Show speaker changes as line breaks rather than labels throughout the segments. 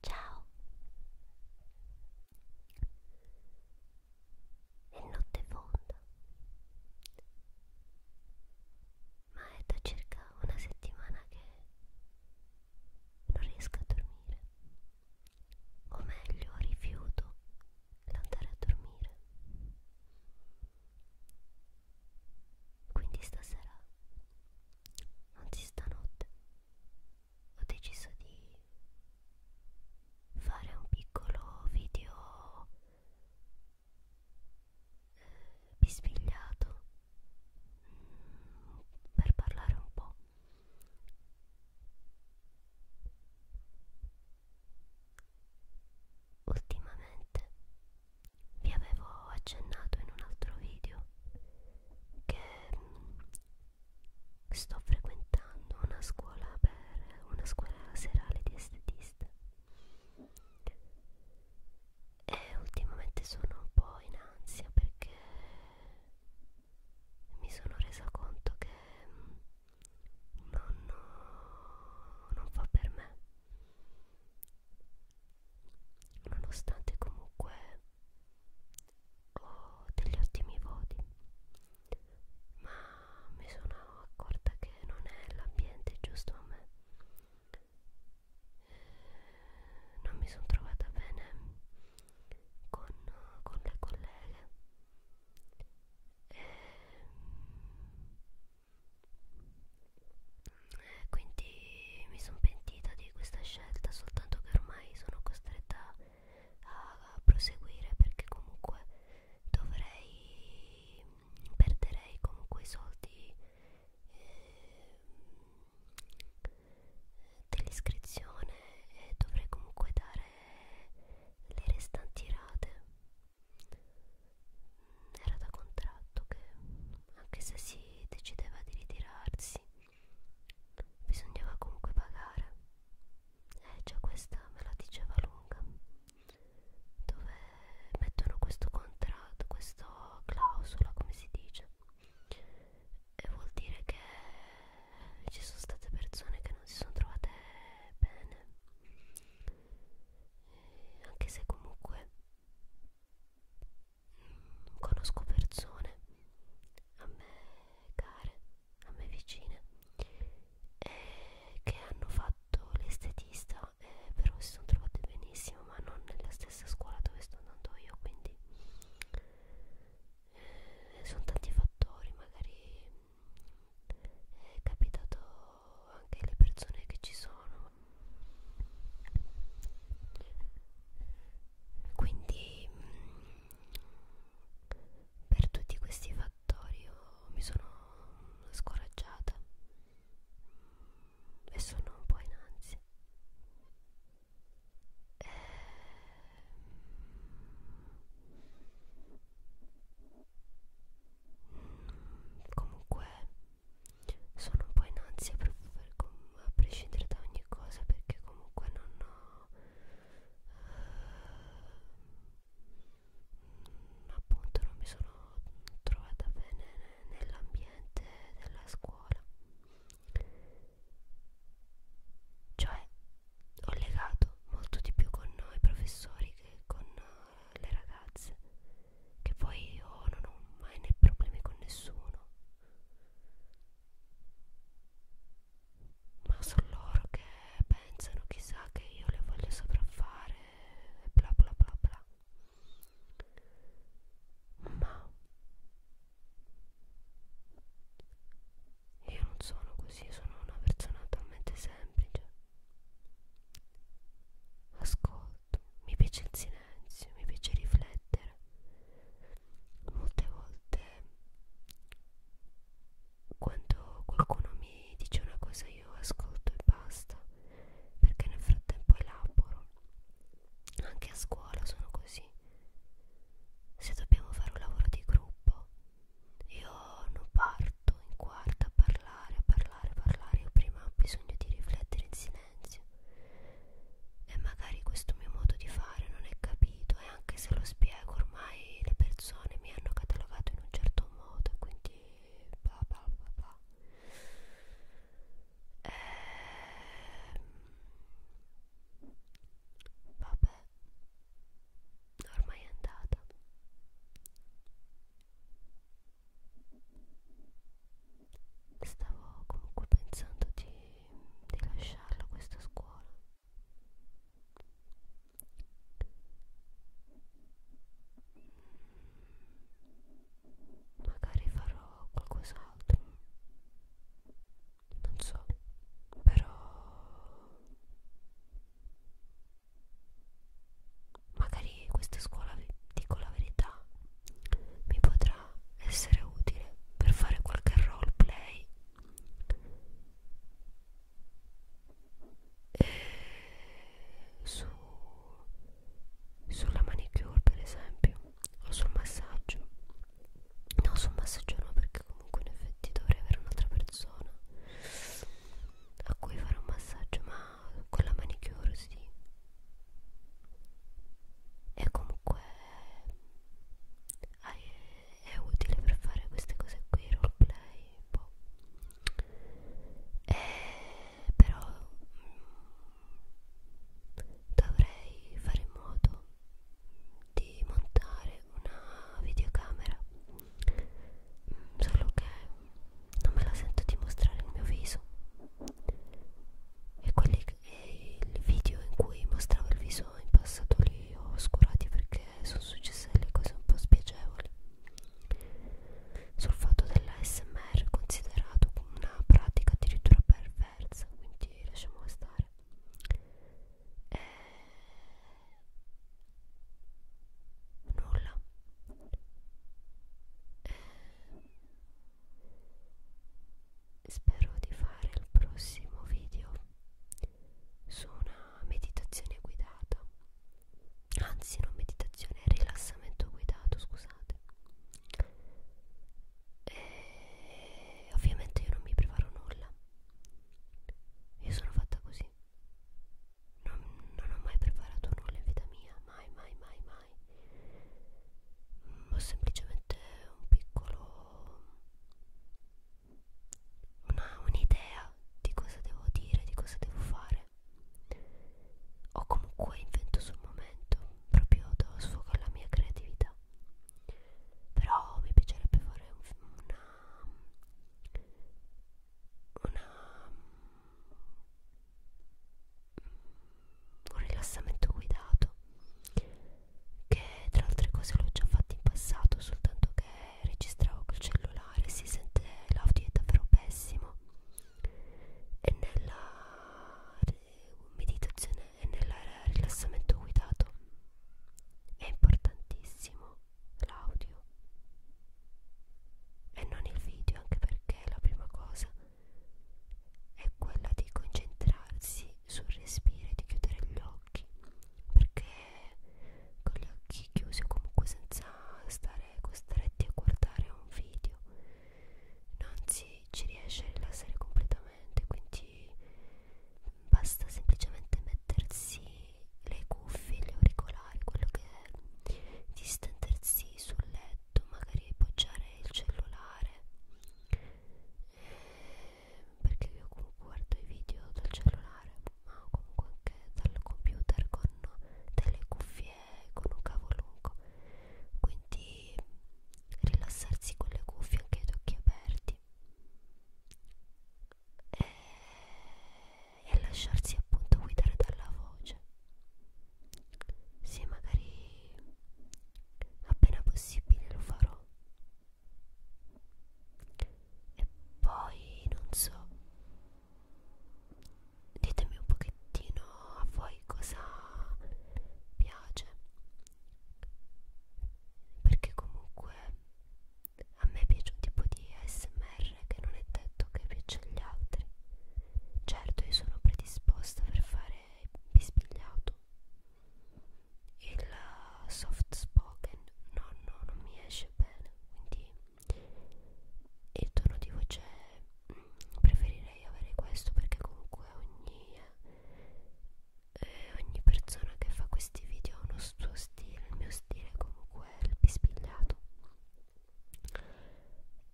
Ciao È notte fonda Ma è da circa una settimana che non riesco a dormire O meglio rifiuto l'andare a dormire quindi stasera anzi stanotte ho deciso di fare un piccolo video eh, bisbigliato mm, per parlare un po' ultimamente niente vi avevo accennato in un altro video che mm, sto frequentando una scuola per una scuola serale di estetista e ultimamente sono un po' in ansia perché mi sono resa conto che mm, non, non fa per me nonostante comunque ho degli ottimi voti ma mi sono accorta che non è l'ambiente giusto a me eh, non mi sono trovata bene con, con le colleghe e, quindi mi sono pentita di questa scelta soltanto che ormai sono costretta a proseguire perché comunque dovrei perderei comunque i soldi eh, dell'iscrizione e dovrei comunque dare le restanti rate era da contratto che anche se si decideva di ritirarsi bisognava comunque pagare e eh, già questa me la diceva lunga dove mettono questo contratto questa clausola come si dice e vuol dire che ci sono state persone che non si sono trovate bene anche se comunque mh, mm, conosco persone a me care, a me vicine, eh, che hanno fatto l'estetista, eh, però si sono trovate benissimo, ma non nella stessa scuola dove sto andando io, quindi eh, sono tanti fattori, magari è capitato anche alle persone che ci sono quindi mm, per tutti questi fattori io mi sono scoraggiata e sono un po' in ansia e... Ehm, comunque sono un po' in ansia proprio per a prescindere da ogni cosa perché comunque non ho uh, appunto non mi sono trovata bene nell'ambiente della scuola cioè ho legato molto di più con i professori che con eh, le ragazze che poi io non ho mai né problemi con nessuno ma sono loro che pensano chissà che io le voglio sopraffare e bla bla bla bla ma io non sono così, sono una persona talmente semplice. Ascolto, mi piace il silenzio, mi piace riflettere. Molte volte quando qualcuno mi dice una cosa io ascolto e basta, perché nel frattempo elaboro. Anche a scuola sono così. Se dobbiamo fare un lavoro di gruppo, io non parto in quarta a parlare, a parlare, a parlare. Io prima ho bisogno di riflettere in silenzio. E magari questo mio modo di fare non è capito. E anche se lo spiego, ormai le persone mi hanno catalogato in un certo modo. E quindi bla bla bla bla. Ehm, vabbè, ormai è andata stavo comunque pensando di, di lasciarlo questa scuola magari farò qualcos'altro non so però magari questa scuola dico la verità mi potrà essere utile per fare qualche roleplay su sulla manicure per esempio o sul massaggio no su un massaggio no perché comunque in effetti dovrei avere un'altra persona a cui fare un massaggio ma con la manicure sì e comunque ah, è, è utile per fare queste cose qui roleplay boh. e eh, però mh, mm, dovrei fare in modo di montare una videocamera mm, solo che non me la sento di mostrare il mio viso e quelli e il video in cui mostravo il viso in passato li ho oscurati perché sono successe delle cose un po' spiacevoli sul fatto dell'ASMR considerato una pratica addirittura perversa quindi lasciamo stare eh, nulla eh, spero di fare il prossimo video su una meditazione guidata anzi non meditazione rilassamento guidato scusate e eh, ovviamente io non mi preparo nulla io sono fatta così non, non ho mai preparato nulla in vita mia mai mai mai mai ho semplicemente un piccolo un'idea di cosa devo dire di cosa devo fare o comunque invento sul momento proprio do sfogo alla mia creatività però mi piacerebbe fare un, una una un rilassamento guidato che tra altre cose l'ho già fatto in passato soltanto che registravo col cellulare si sente l'audio è davvero pessimo e nella meditazione e nel rilassamento guidato è importantissimo l'audio e non il video anche perché la prima cosa è quella di concentrarsi sul respiro e di chiudere gli occhi perché con gli occhi chiusi o comunque senza stare costretti a guardare un video non si, ci riesce a rilassare completamente quindi basta semplicemente mettersi le cuffie, gli auricolari, quello che è distendersi sul letto, magari appoggiare il cellulare eh, perché io comunque guardo i video dal cellulare ma comunque anche dal computer con delle cuffie con un cavo lungo quindi rilassarsi con le cuffie anche ad occhi aperti e, e lasciarsi appunto guidare dalla voce se magari appena possibile lo farò e poi non so ditemi un pochettino a voi cosa piace perché comunque a me piace un tipo di ASMR che non è detto che piace agli altri certo io sono predisposta per fare bisbigliato il soft spoken no no non mi esce bene quindi e il tono di voce mm, preferirei avere questo perché comunque ogni, eh, ogni persona che fa questi video ha uno suo stile, il mio stile comunque è il pispigliato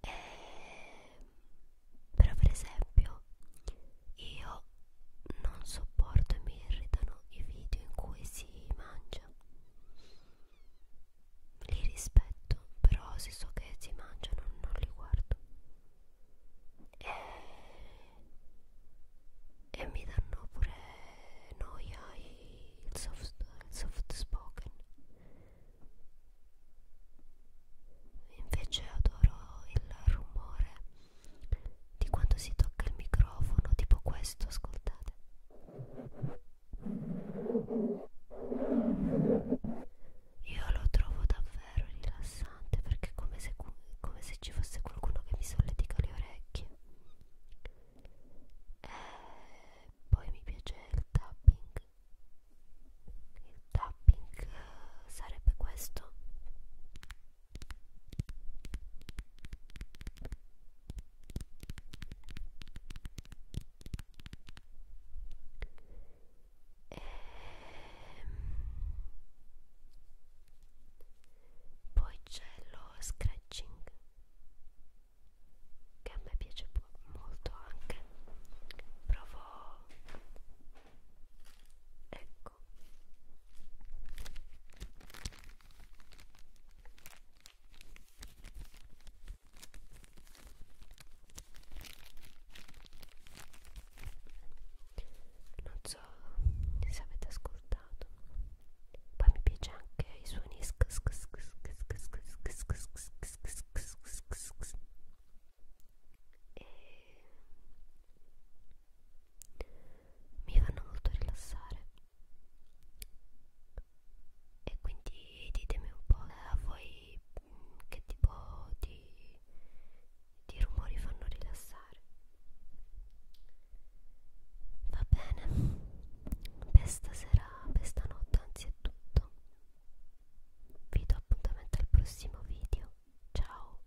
e, però per esempio io non sopporto e mi irritano i video in cui si mangia li rispetto, però se so che si mangiano non li guardo e, e mi danno pure noia il soft, il soft spoken invece adoro il rumore di quando si tocca il microfono tipo questo ascoltate io lo trovo davvero rilassante perché è come se, come se ci fosse qualcuno che mi solletica le orecchie. E eh, poi mi piace il tapping. Il tapping eh, sarebbe questo. E... Ehm, poi c'è lo scratching che a me piace molto anche. Provo ecco non so se avete ascoltato poi mi piace anche i suoni e mi fanno molto rilassare e quindi ditemi un po' eh, a voi mm, che tipo di, di rumori fanno rilassare va bene per stasera per stanotte anzi è tutto vi do appuntamento al prossimo video ciao